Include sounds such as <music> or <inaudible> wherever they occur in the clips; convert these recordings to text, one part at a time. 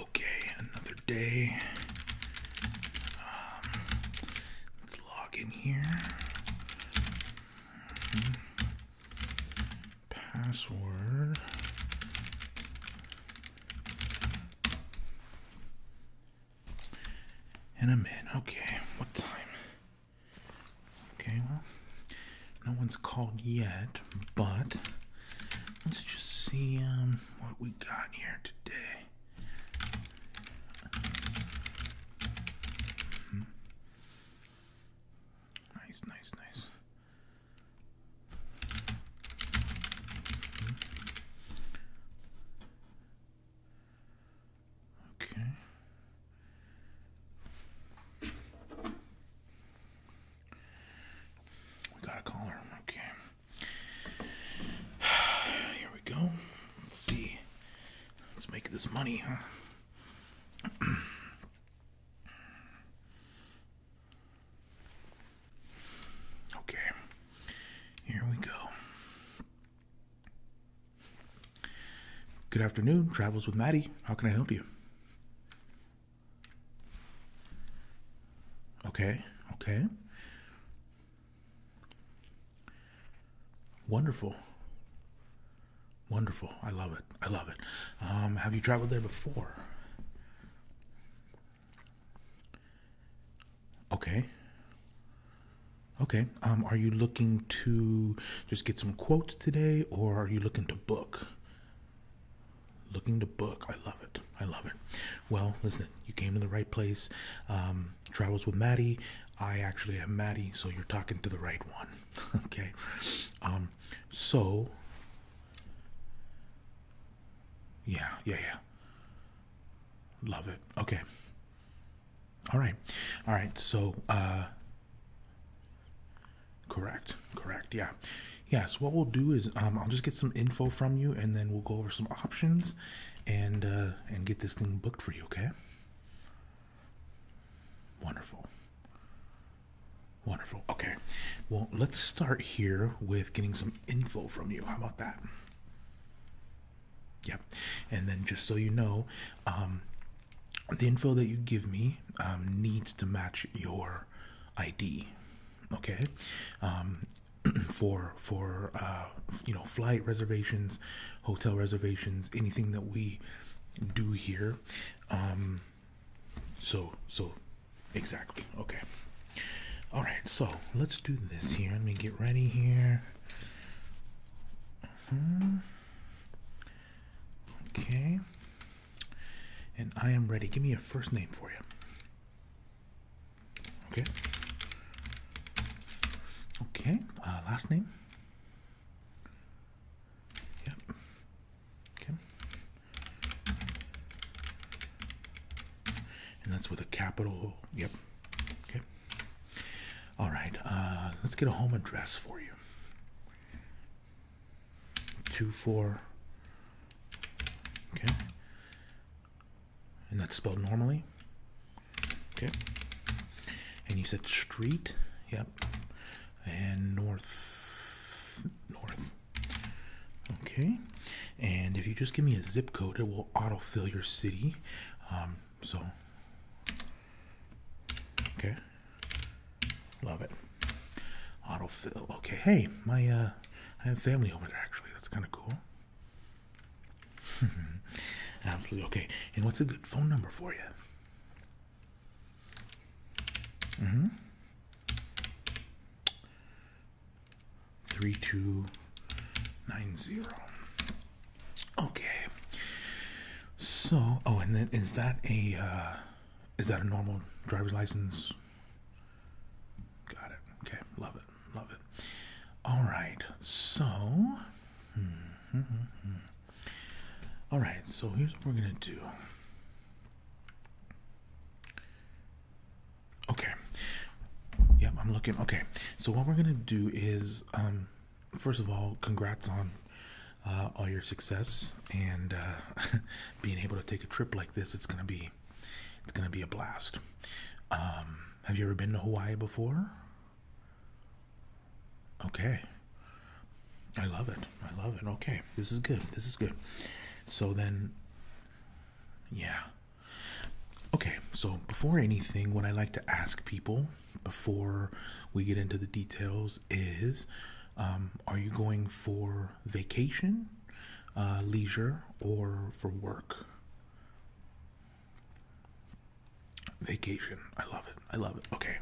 Okay, another day. Um, let's log in here. Mm-hmm. Password. And I'm in. Okay, what time? Okay, well, no one's called yet, but let's just see um, what we got here today. Hmm. Nice, nice, nice. Okay. We got a caller. Okay. <sighs> Here we go. Let's see. Let's make this money, huh? <clears throat> Okay, here we go. Good afternoon, Travels with Maddie. How can I help you? Okay, okay. Wonderful. Wonderful. I love it. I love it. Um, have you traveled there before? Okay. Okay. Um, are you looking to just get some quotes today or are you looking to book? Looking to book. I love it. I love it. Well, listen, you came to the right place. Um, travels with Maddie. I actually am Maddie, so you're talking to the right one. <laughs> okay. Um, so, yeah, yeah, yeah. Love it. Okay. All right. All right. So, uh, correct. Correct. Yeah. Yeah, so what we'll do is, um, I'll just get some info from you and then we'll go over some options and, uh, and get this thing booked for you. Okay. Wonderful. Wonderful. Okay. Well, let's start here with getting some info from you. How about that? Yep. And then just so you know, um, the info that you give me um, needs to match your ID. Okay. Um, <clears throat> for for uh, you know flight reservations, hotel reservations, anything that we do here. so so Exactly. Okay. All right. So let's do this here. Let me get ready here. Uh-huh. Okay. And I am ready. Give me a first name for you. Okay. Okay. Uh, last name. Yep. Okay and that's with a capital. Yep. Okay. All right. Uh, let's get a home address for you. Two four. Okay. And that's spelled normally. Okay. And you said street. Yep. And north. North. Okay. And if you just give me a zip code, it will autofill your city. Um, so, okay, love it. Autofill. Okay, hey, my uh, I have family over there actually. That's kind of cool. <laughs> Absolutely. Okay. And what's a good phone number for you? hmm 3290. Okay. So, oh, and then is that a uh, is that a normal driver's license? Got it. Okay, love it, love it. All right, so, hmm, hmm, hmm, all right, so here's what we're gonna do. Okay. Yep, I'm looking. Okay. So what we're gonna do is, um, first of all, congrats on uh, all your success and uh, <laughs> being able to take a trip like this. It's gonna be, it's gonna be a blast. Um, have you ever been to Hawaii before? Okay. I love it. I love it. Okay. This is good. This is good. So then, yeah. Okay, so before anything, what I like to ask people before we get into the details is um, are you going for vacation, uh, leisure, or for work? Vacation. I love it. I love it. Okay.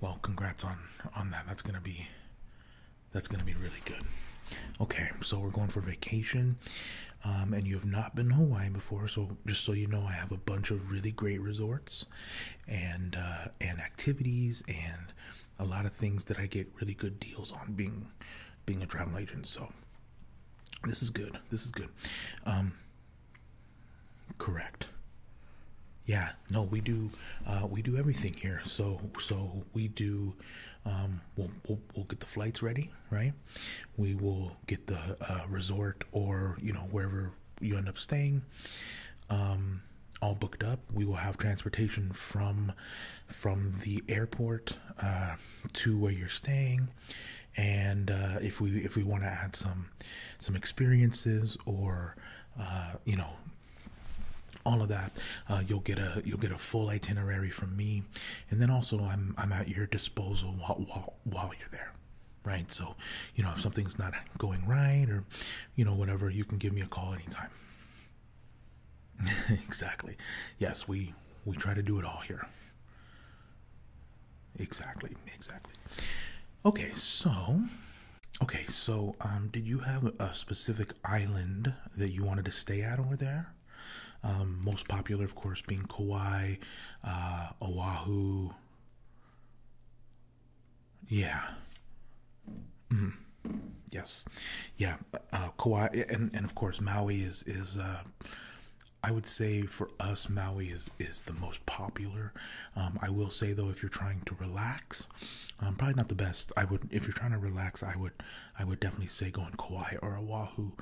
Well, congrats on on that. That's gonna be that's gonna be really good. Okay, so we're going for vacation. Um, and you have not been to Hawaii before, so just so you know, I have a bunch of really great resorts and uh, and activities and a lot of things that I get really good deals on being being a travel agent. So this is good. This is good. Um, correct. Yeah. No, we do. Uh, we do everything here. So so we do um, we'll, get the flights ready, right? We will get the uh, resort or, you know, wherever you end up staying. Um, all booked up. We will have transportation from from the airport uh, to where you're staying, and uh, if we if we want to add some some experiences or you know all of that, you'll get a you'll get a full itinerary from me and then also I'm I'm at your disposal while while, you're there right so you know if something's not going right or you know whatever you can give me a call anytime <laughs> exactly yes we we try to do it all here exactly exactly okay so okay so um did you have a specific island that you wanted to stay at over there um, most popular, of course, being Kauai, uh, Oahu. Yeah. Mm-hmm. Yes. Yeah. Uh, Kauai, and, and of course, Maui is, is uh, I would say for us, Maui is, is the most popular. Um, I will say though, if you're trying to relax, um, probably not the best. I would, if you're trying to relax, I would, I would definitely say going Kauai or Oahu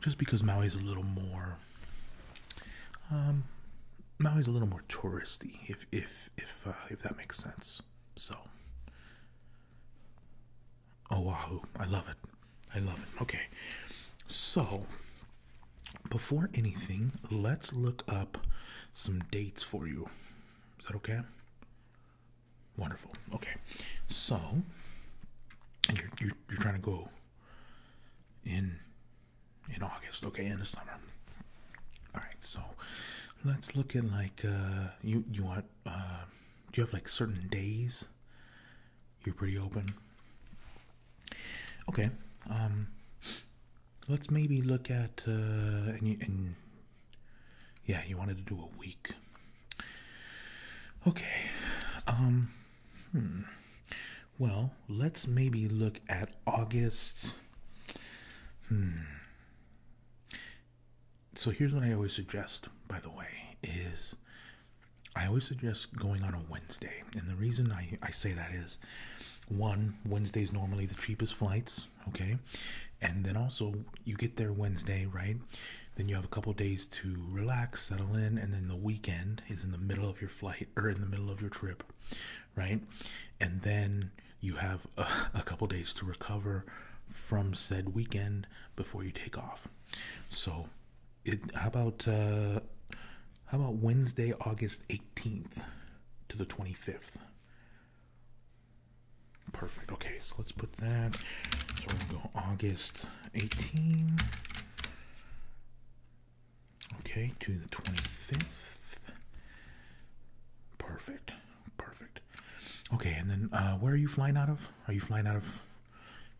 just because Maui's a little more um, Maui's a little more touristy, if if if uh, if that makes sense. So Oahu, I love it. I love it. Okay, so before anything, let's look up some dates for you. Is that okay? Wonderful. Okay, so you're you're, trying to go in in August, okay, in the summer. All right, so let's look at like uh, you you want uh, do you have like certain days you're pretty open? Okay, um, let's maybe look at uh, and yeah, you wanted to do a week. Okay. Um hmm. Well, let's maybe look at August. Hmm. So here's what I always suggest, by the way, is I always suggest going on a Wednesday. And the reason I, I say that is one, Wednesday's normally the cheapest flights, okay? And then also you get there Wednesday, right? Then you have a couple days to relax, settle in, and then the weekend is in the middle of your flight or in the middle of your trip, right? And then you have a, <laughs> a couple days to recover from said weekend before you take off. So, it how about uh, how about Wednesday, August 18th to the 25th? Perfect. Okay, so let's put that. So we're gonna go August 18. Okay, to the 25th. Perfect. Perfect. Okay, and then uh, where are you flying out of? Are you flying out of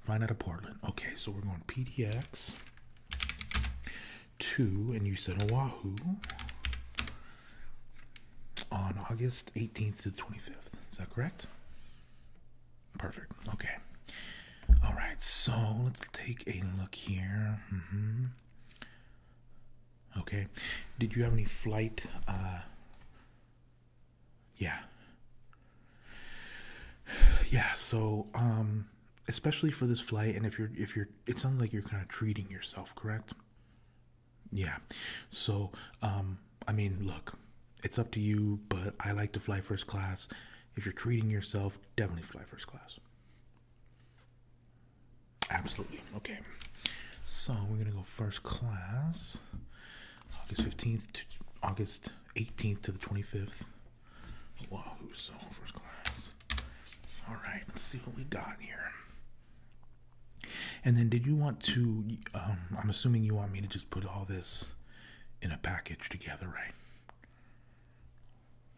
flying out of Portland? Okay, so we're going PDX Two, and you said Oahu on August 18th to the 25th. Is that correct? Perfect. Okay. All right. So let's take a look here. Mm-hmm. Okay. Did you have any flight? Uh, yeah. Yeah. So, um, especially for this flight, and if you're, if you're, it sounds like you're kind of treating yourself, correct? Yeah. So, um, I mean, look, it's up to you, but I like to fly first class. If you're treating yourself, definitely fly first class. Absolutely. Okay. So we're going to go first class August 15th to August 18th to the 25th. Wow, so first class. All right, let's see what we got here. And then, did you want to? Um, I'm assuming you want me to just put all this in a package together, right?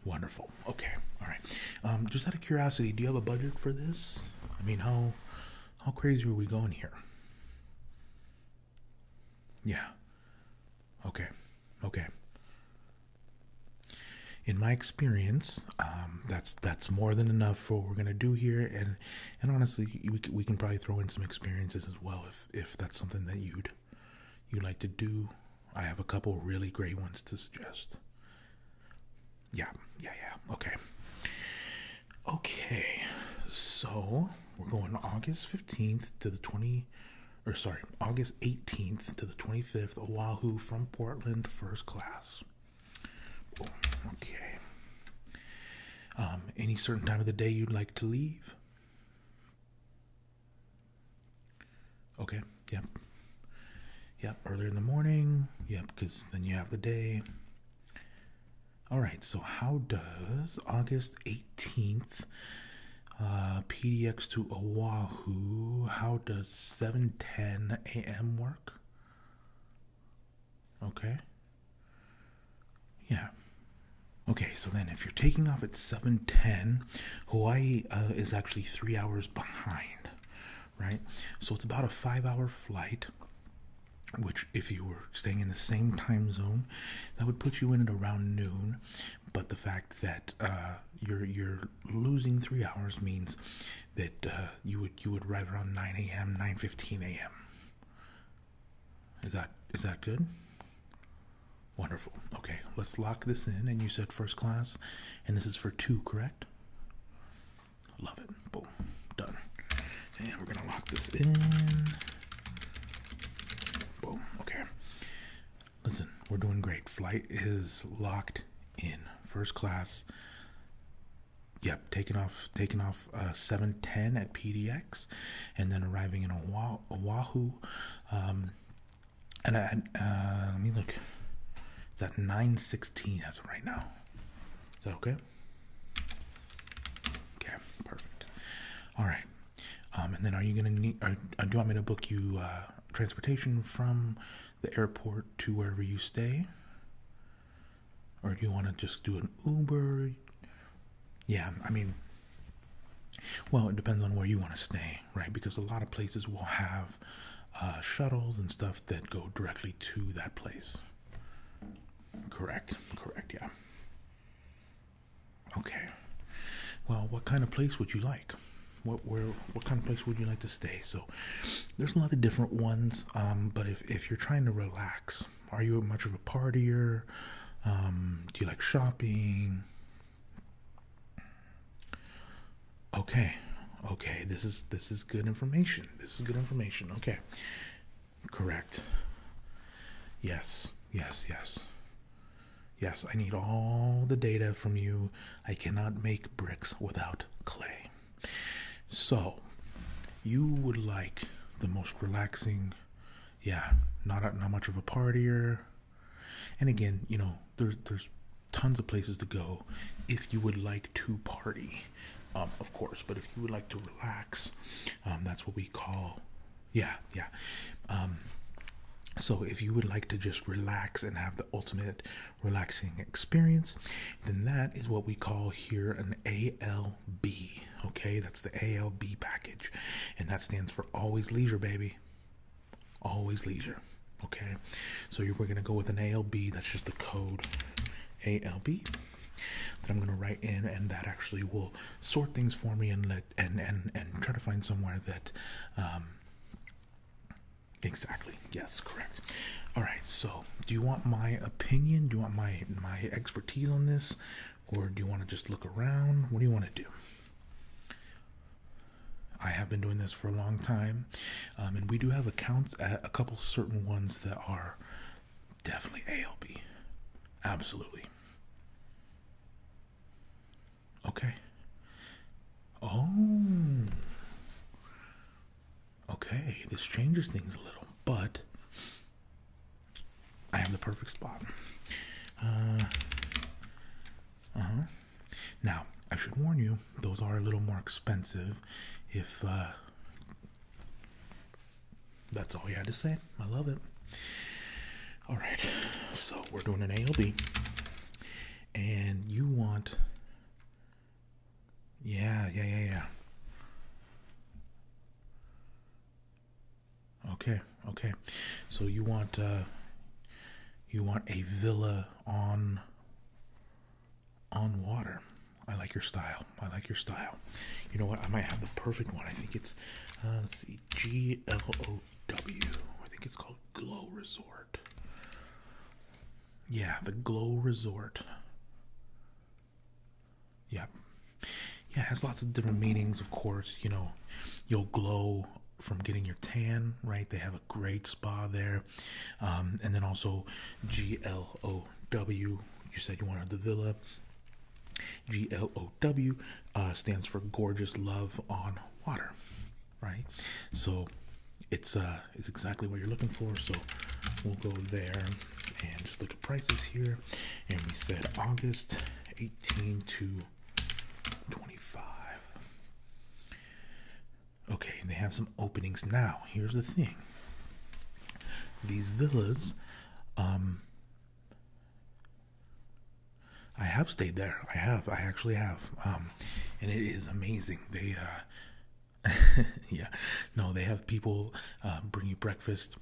Wonderful. Okay. All right. Um, just out of curiosity, do you have a budget for this? I mean, how how crazy are we going here? Yeah. Okay. Okay. In my experience, um, that's that's more than enough for what we're gonna do here, and and honestly, we can probably throw in some experiences as well if if that's something that you'd you like to do. I have a couple really great ones to suggest. Yeah, yeah, yeah. Okay, okay. So we're going August fifteenth to the twenty, or sorry, August eighteenth to the twenty fifth. Oahu from Portland, first class. okay um, any certain time of the day you'd like to leave? Okay, yep. Yep, earlier in the morning. Yep, because then you have the day. All right, so how does August 18th, uh, PDX to Oahu, how does 7.10 a.m. work? Okay, yeah. Okay, so then if you're taking off at 7:10, Hawaii uh, is actually 3 hours behind, right? So it's about a 5-hour flight, which if you were staying in the same time zone, that would put you in at around noon, but the fact that uh, you're losing 3 hours means that uh, you would you would arrive around 9 a.m., 9:15 a.m. Is that is that good? Wonderful. Okay, let's lock this in. And you said first class, and this is for two, correct? Love it. Boom. Done. And we're gonna lock this in. Boom. Okay. Listen, we're doing great. Flight is locked in. First class. Yep, taking off taking off uh, 710 at PDX and then arriving in Oahu. Um, and I, uh, let me look. It's at 916 as of right now. Is that okay? Okay, perfect. All right. Um, and then are you going to need, or, uh, do you want me to book you transportation from the airport to wherever you stay? Or do you want to just do an Uber? yeah, I mean, well, it depends on where you want to stay, right? Because a lot of places will have uh, shuttles and stuff that go directly to that place. Correct, correct, yeah. Okay. Well, what kind of place would you like? What where what kind of place would you like to stay? So, there's a lot of different ones. Um, but if if you're trying to relax, are you much of a partier? Um, do you like shopping? Okay, okay, this is this is good information. This is good information. Okay, correct. Yes, yes, yes. Yes, I need all the data from you. I cannot make bricks without clay. So, you would like the most relaxing, yeah, not not much of a partier. And again, you know, there's there's tons of places to go if you would like to party, um, of course. But if you would like to relax, um, that's what we call, yeah, yeah. Um, so if you would like to just relax and have the ultimate relaxing experience, then that is what we call here an AL ALB. Okay, that's the ALB package, and that stands for always leisure, baby. Always leisure. Okay, so we're gonna go with an ALB. That's just the code ALB that I'm gonna write in, and that actually will sort things for me and let and and and try to find somewhere that. Um, Exactly. Yes, correct. All right. So, do you want my opinion? Do you want my my expertise on this? or do you want to just look around? What do you want to do? I have been doing this for a long time, um, and we do have accounts at a couple certain ones that are definitely ALB. Absolutely. Okay. Oh. Okay, this changes things a little, but I have the perfect spot. Uh, huh. Now I should warn you; those are a little more expensive. If uh, that's all you had to say, I love it. All right, so we're doing an ALB, and you want, yeah, yeah, yeah, yeah. Okay, okay. So you want uh, you want a villa on on water. I like your style. I like your style. You know what? I might have the perfect one. I think it's uh, let's see, G L O W. I think it's called Glow Resort. Yeah, the Glow Resort. Yeah. Yeah, it has lots of different meanings, of course. You know, you'll glow from getting your tan, right? They have a great spa there. Um, and then also G L O W. You said you wanted the villa. G L O W uh, stands for Gorgeous Love on Water, right? So it's uh, it's exactly what you're looking for. So we'll go there and just look at prices here. And we said August 18 to 25. Okay, they have some openings now. Here's the thing these villas, um, I have stayed there. I have. I actually have. Um, and it is amazing. They, uh, <laughs> yeah, no, they have people uh, bring you breakfast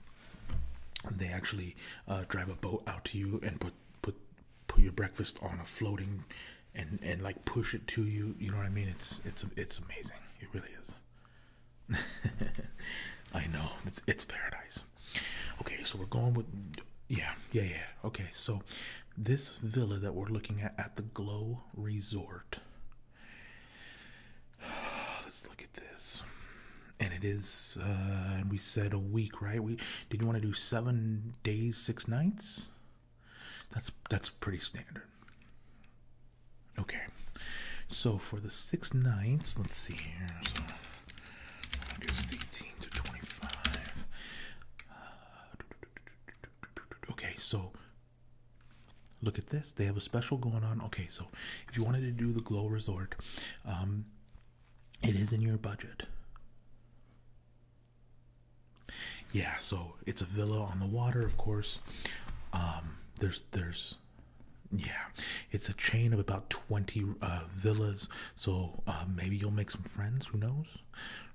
they actually uh, drive a boat out to you and put put put your breakfast on a floating and and like push it to you you know what i mean it's it's it's amazing it really is <laughs> i know it's it's paradise okay so we're going with yeah yeah yeah okay so this villa that we're looking at at the glow resort <sighs> let's look this. And it is, uh, and we said a week, right? We did you want to do seven days, six nights? That's that's pretty standard. Okay, so for the six nights, let's see here. So 18 to 25. Uh, okay, so look at this. They have a special going on. Okay, so if you wanted to do the Glow Resort, um, it is in your budget. Yeah, so it's a villa on the water, of course. Um, there's there's yeah, it's a chain of about 20 uh, villas. So uh, maybe you'll make some friends, who knows?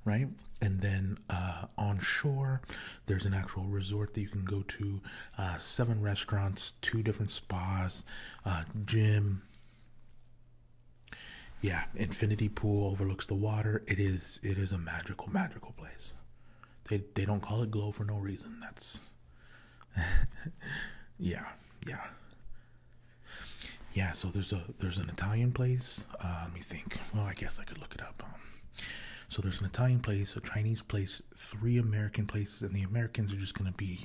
Right? And then uh, on shore, there's an actual resort that you can go to uh, seven restaurants, two different spas, uh, gym. Yeah, infinity pool overlooks the water. It is it is a magical, magical place. They they don't call it glow for no reason. That's <laughs> yeah, yeah. Yeah, so there's a there's an Italian place. Uh, let me think. Well, I guess I could look it up. Um, so there's an Italian place, a Chinese place, three American places, and the Americans are just going to be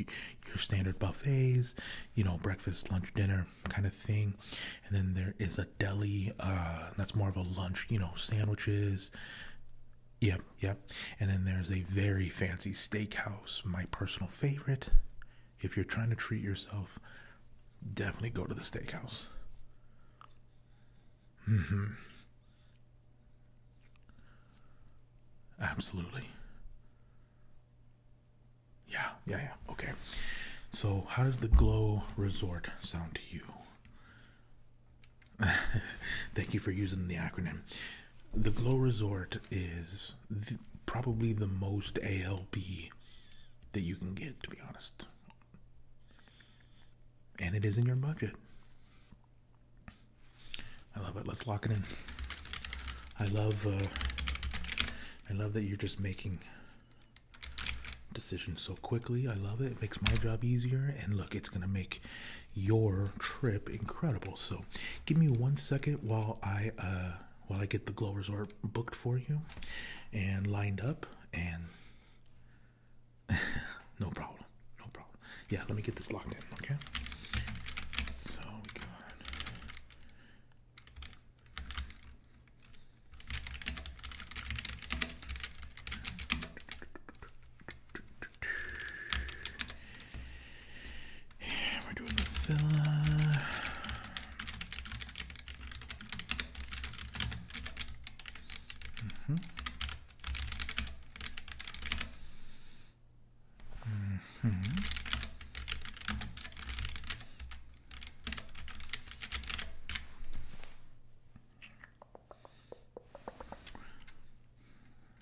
your standard buffets, you know, breakfast, lunch, dinner kind of thing. And then there is a deli, uh, that's more of a lunch, you know, sandwiches. Yep, yep. And then there's a very fancy steakhouse, my personal favorite. If you're trying to treat yourself, definitely go to the steakhouse. Mm-hmm. Absolutely. Yeah, yeah, yeah. Okay. So, how does the Glow Resort sound to you? <laughs> Thank you for using the acronym. The Glow Resort is probably the most ALB that you can get, to be honest. And it is in your budget. I love it. Let's lock it in. I love uh, I love that you're just making decisions so quickly. I love it. It makes my job easier and look, it's going to make your trip incredible. So, give me 1 second while I uh while I get the Glow Resort booked for you and lined up and <laughs> no problem. No problem. Yeah, let me get this locked in, okay? So we got. we're doing the filler. Mm -hmm. Mm-hmm.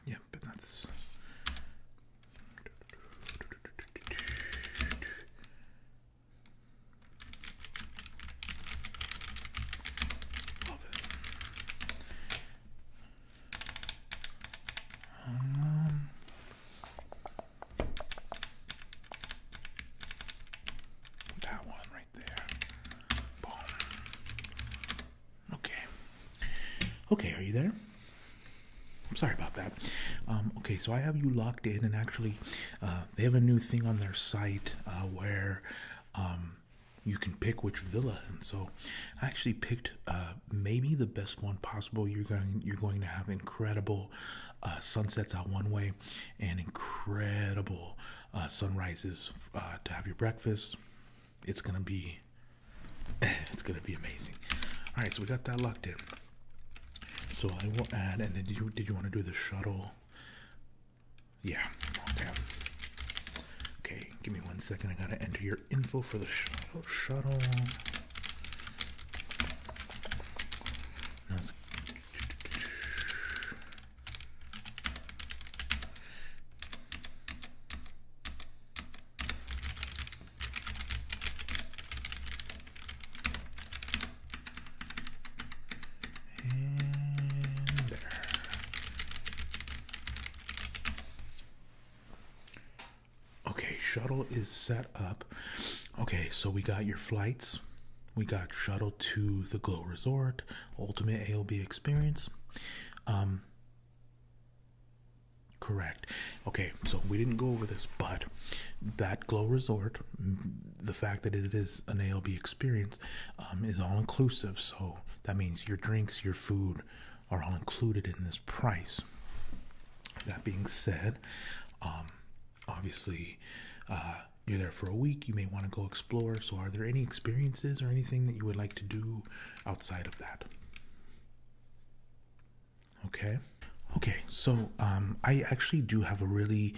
Yeah, but that's that one right there. Boom. Okay. Okay, are you there? I'm sorry about that. Um, okay, so I have you locked in, and actually, uh, they have a new thing on their site uh, where um, you can pick which villa and so i actually picked uh, maybe the best one possible you're going you're going to have incredible uh, sunsets out one way and incredible uh, sunrises uh, to have your breakfast it's gonna be <laughs> it's gonna be amazing all right so we got that locked in so i will add and then did you did you want to do the shuttle yeah okay give me one second i gotta enter your your info for the oh, shuttle. shuttle. And there. Okay, shuttle is set up. Okay, so we got your flights. We got shuttle to the Glow Resort, ultimate AOB experience. Um correct. Okay, so we didn't go over this, but that Glow Resort, the fact that it is an ALB experience, um, is all inclusive. So that means your drinks, your food, are all included in this price. That being said, um, obviously, uh, you're there for a week. You may want to go explore. So, are there any experiences or anything that you would like to do outside of that? Okay. Okay. So, um, I actually do have a really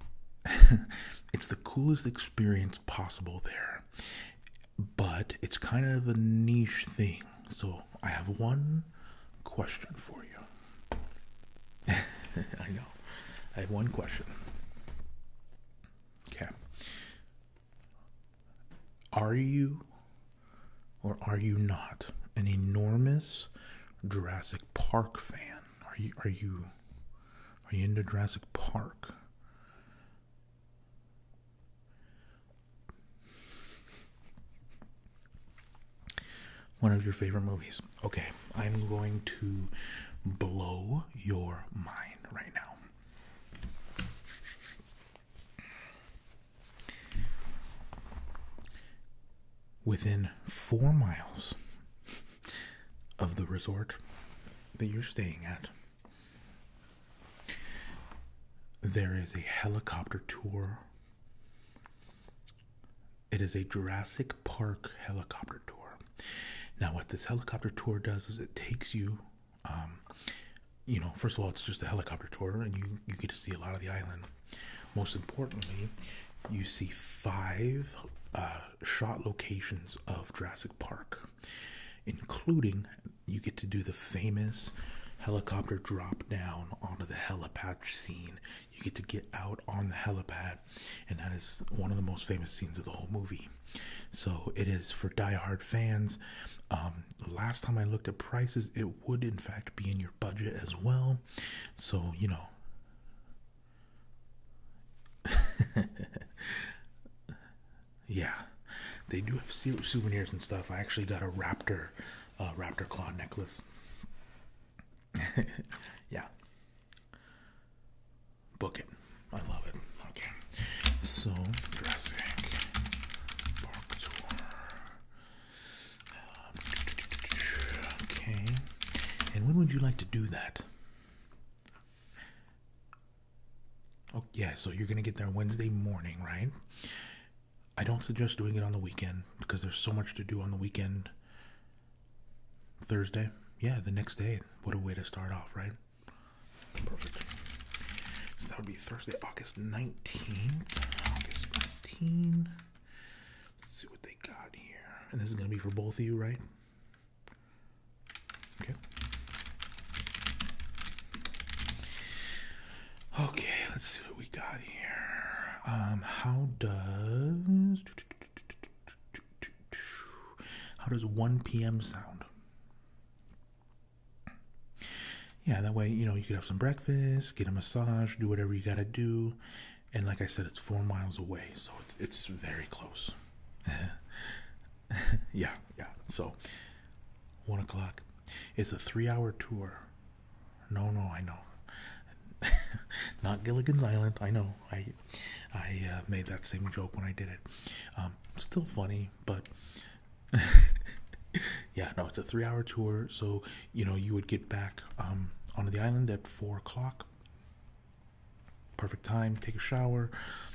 <laughs> it's the coolest experience possible there but it's kind of a niche thing. So I have one question for you. <laughs> I know. I have one question. Okay. Are you or are you not an enormous Jurassic Park fan? Are you are you are you into Jurassic Park? One of your favorite movies. Okay, I'm going to blow your mind right now. Within four miles of the resort that you're staying at, there is a helicopter tour. It is a Jurassic Park helicopter tour. Now, what this helicopter tour does is it takes you, um, you know, first of all, it's just a helicopter tour, and you you get to see a lot of the island. Most importantly, you see five uh, shot locations of Jurassic Park including you get to do the famous helicopter drop down onto the helipad scene. You get to get out on the helipad, and that is one of the most famous scenes of the whole movie. So it is for die-hard fans. Um, last time I looked at prices, it would in fact be in your budget as well. So you know. <laughs> Yeah, they do have souvenirs and stuff. I actually got a raptor, uh, raptor claw necklace. <laughs> yeah, book it. I love it. Okay, so Jurassic um, <tsk> okay, and when would you like to do that? Oh, yeah, so you're going to get there Wednesday morning, right? I don't suggest doing it on the weekend because there's so much to do on the weekend. Thursday, yeah, the next day. What a way to start off, right? Perfect. So that would be Thursday, August 19th. August 19th. Let's see what they got here. And this is going to be for both of you, right? Okay. Okay. let's see what we got here. Um, how does how does 1 p.m. sound? Yeah, that way, you know, you could have some breakfast, get a massage, do whatever you got to do. And like I said, it's four miles away, so it's, it's very close. <laughs> yeah, yeah. So, one o'clock it's a three hour tour. No, no, I know. <laughs> Not Gilligan's Island. I know. I I uh, made that same joke when I did it. Um, still funny, but <laughs> yeah, no, it's a three hour tour. So, you know, you would get back um, onto the island at four o'clock. Perfect time. Take a shower,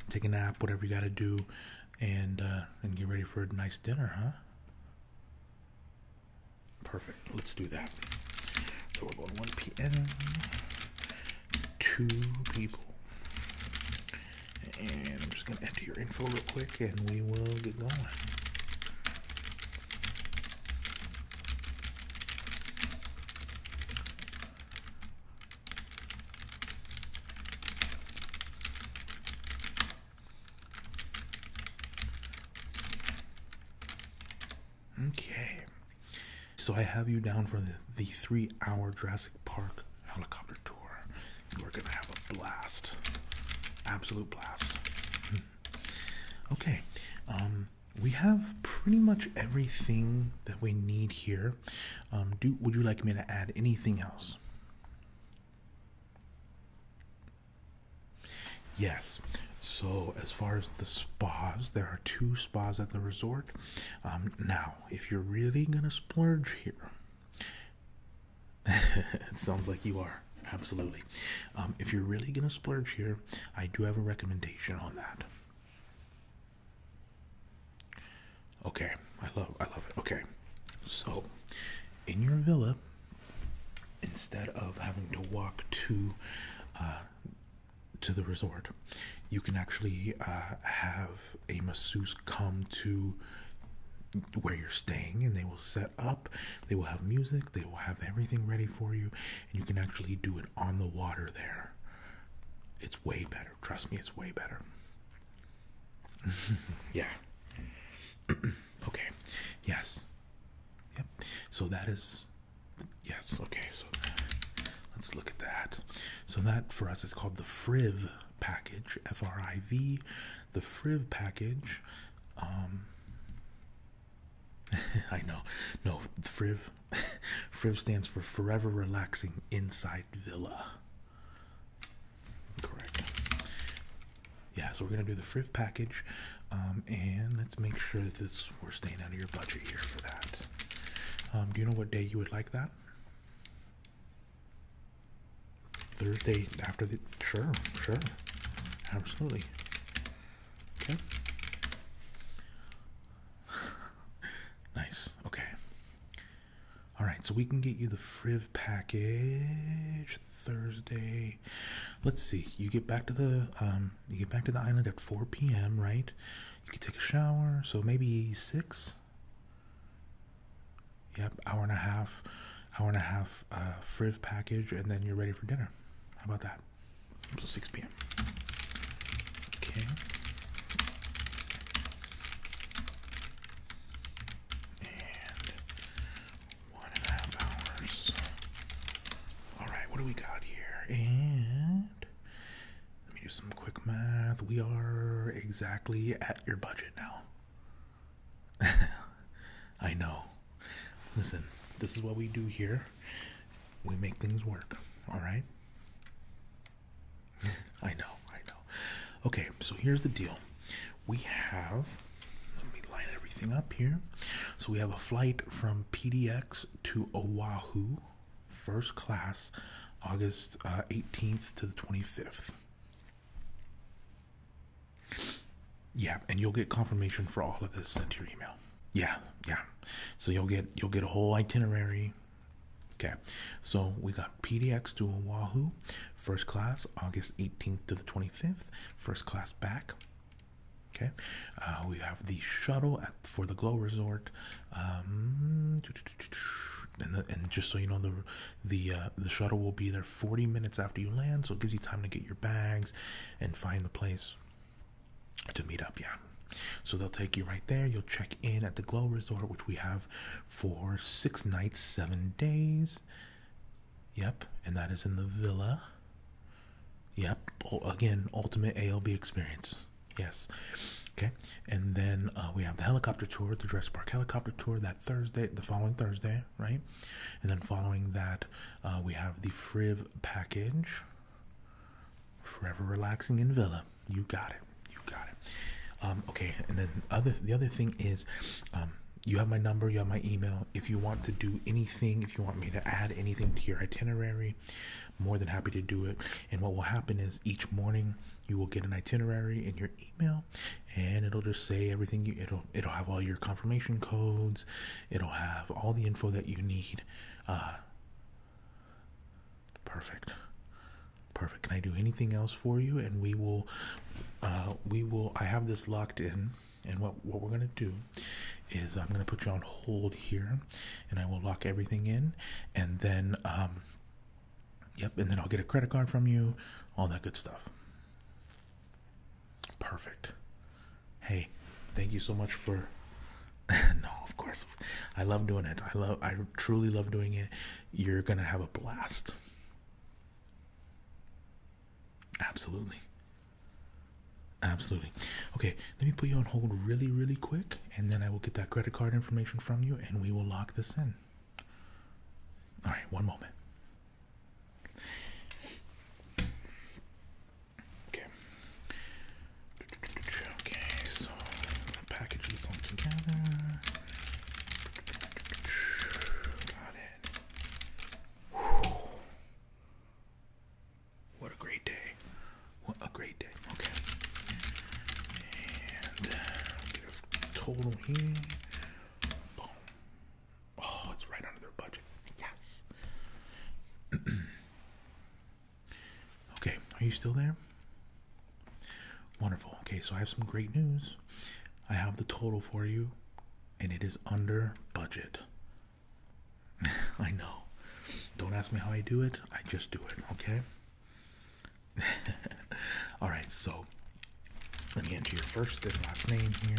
take a nap, whatever you got to do and uh, and get ready for a nice dinner, huh? Perfect. Let's do that. So we're going 1 p.m. Two people, and I'm just gonna enter your info real quick, and we will get going. Okay. So I have you down for the, three hour Jurassic Park helicopter tour. We're going to have a blast. Absolute blast. Hmm. Okay. Um, we have pretty much everything that we need here. Um, do would you like me to add anything else? Yes. So, as far as the spas, there are two spas at the resort. Um, now, if you're really going to splurge here, <laughs> it sounds like you are. Absolutely. Um, if you're really going to splurge here, I do have a recommendation on that. Okay, I love I love it. Okay. So in your villa, instead of having to walk to uh, to the resort, you can actually uh, have a masseuse come to where you're staying and they will set up, they will have music, they will have everything ready for you, and you can actually do it on the water there. It's way better. Trust me, it's way better. <laughs> yeah. <clears throat> okay. Yes. Yep. So that is yes. Okay. So let's look at that. So that for us is called the FRIV package. F R I V. The FRIV package. Um, <laughs> I know. No, FRIV. <laughs> FRIV stands for Forever Relaxing Inside Villa. Correct. Yeah, so we're gonna do the friv package, um, and let's make sure that we're staying under your budget here for that. Um, do you know what day you would like that? Thursday after the sure, sure, absolutely. Okay. <laughs> nice. Okay. All right, so we can get you the Friv package Thursday. Let's see. You get back to the um, you get back to the island at 4 p.m. Right? You can take a shower. So maybe six. Yep, hour and a half, hour and a half uh, Friv package, and then you're ready for dinner. How about that? So 6 p.m. Okay and one and a half hours. All right, what do we got here? And let me do some quick math. We are exactly at your budget now. <laughs> I know. Listen, this is what we do here. We make things work, all right? <laughs> I know, I know. Okay, so here's the deal. We have let me line everything up here. So we have a flight from PDX to Oahu, first class, August 18th uh, to the 25th. Yeah, and you'll get confirmation for all of this sent to your email. Yeah, yeah. So you'll get you'll get a whole itinerary. Okay. So we got PDX to Oahu, first class, August 18th to the 25th, first class back. Okay, uh, we have the shuttle for the Glow Resort, um, and, just so you know, the uh, the shuttle will be there 40 minutes after you land, so it gives you time to get your bags and find the place to meet up. Yeah, so they'll take you right there. You'll check in at the Glow Resort, which we have for six nights, seven days. Yep, and that is in the villa. Yep, again, ultimate ALB experience. Yes. Okay, and then uh, we have the helicopter tour, the Dress Park helicopter tour that Thursday, the following Thursday, right? And then following that, uh, we have the Friv package. Forever relaxing in Villa. You got it. You got it. Um, okay, and then other the other thing is, um, you have my number, you have my email. If you want to do anything, if you want me to add anything to your itinerary, more than happy to do it. And what will happen is each morning you will get an itinerary in your email and it'll just say everything you it'll it'll have all your confirmation codes, it'll have all the info that you need. Uh perfect. Perfect. Can I do anything else for you? And we will, uh, we will. I have this locked in, and what what we're gonna do is I'm gonna put you on hold here, and I will lock everything in, and then um, yep, and then I'll get a credit card from you, all that good stuff. Perfect. Hey, thank you so much for. <laughs> no, of course. I love doing it. I love I truly love doing it. You're going to have a blast. Absolutely. Absolutely. Okay, let me put you on hold really, really quick, and then I will get that credit card information from you and we will lock this in. All right, one moment. Okay. Okay, so package this all together. What a great day. What a great day. Okay. Uh, total here. Boom. Oh, it's right under their budget. Yes. <clears throat> okay, are you still there? Wonderful. Okay, so I have some great news. I have the total for you, and it is under budget. <laughs> I know. Don't ask me how I do it, I just do it, okay? <laughs> All right, so let me enter your first and last name here.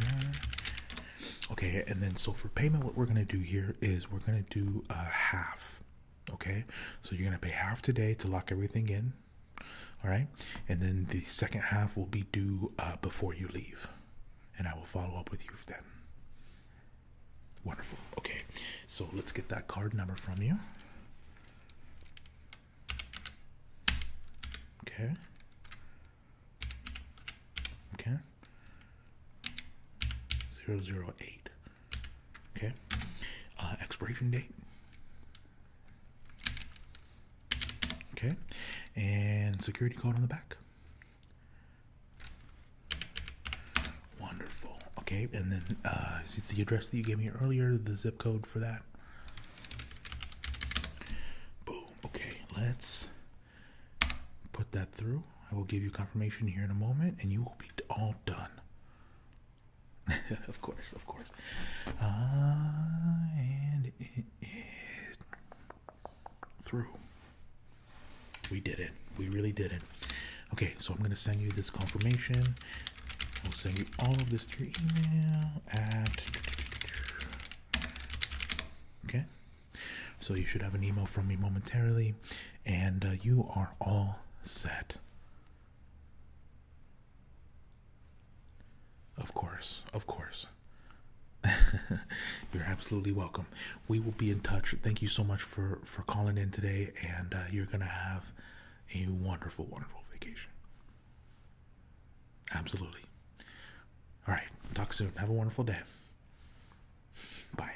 Okay, and then so for payment, what we're gonna do here is we're gonna do a uh, half. Okay, so you're gonna pay half today to lock everything in, all right. And then the second half will be due uh, before you leave. And I will follow up with you then. Wonderful. Okay. So let's get that card number from you. Okay. Okay. Zero zero eight. Okay. Uh, expiration date Okay, and security code on the back. Wonderful. Okay, and then uh, the address that you gave me earlier, the zip code for that. Boom. Okay, let's put that through. I will give you confirmation here in a moment, and you will be all done. <laughs> of course, of course. Uh, and it is through. We did it. We really did it. Okay, so I'm going to send you this confirmation. I'll send you all of this through email at. Okay? So you should have an email from me momentarily, and uh, you are all set. Of course, of course. <laughs> you're absolutely welcome. We will be in touch. Thank you so much for for calling in today, and uh, you're gonna have a wonderful, wonderful vacation. Absolutely. All right. Talk soon. Have a wonderful day. Bye.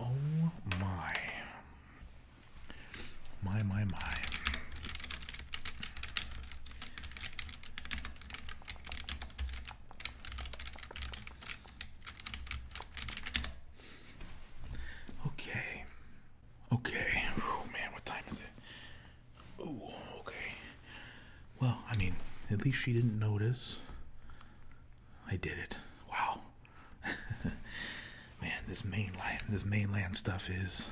oh my. My, my, my. Okay. Okay. Oh man, what time is it? Oh, okay. Well, I mean, at least she didn't notice. I did it. Wow. <laughs> Man, this mainland, this mainland stuff is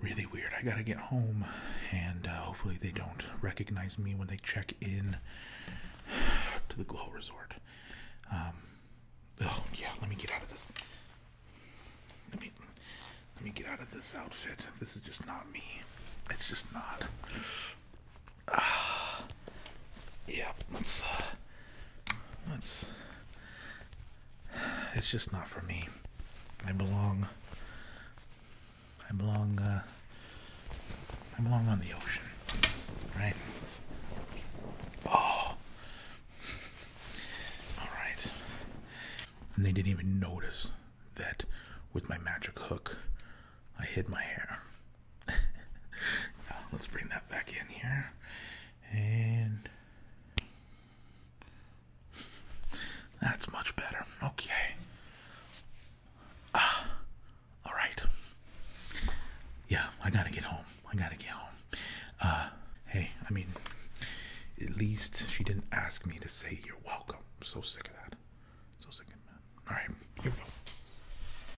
really weird. I gotta get home, and uh, hopefully they don't recognize me when they check in <sighs> to the Glow Resort. Um, oh yeah, let me get out of this. Let me let me get out of this outfit. This is just not me. It's just not. Uh, <sighs> yeah, let's. Uh, <sighs> it's just not for me. I belong. I belong. Uh, I belong on the ocean, right? Oh. <sighs> All right. And they didn't even notice that with my magic hook, I hid my hair. <laughs> let's bring that back in here and that's much better okay ah all right yeah i gotta get home i gotta get home uh hey i mean at least she didn't ask me to say you're welcome I'm so sick of that so sick of that all right here we go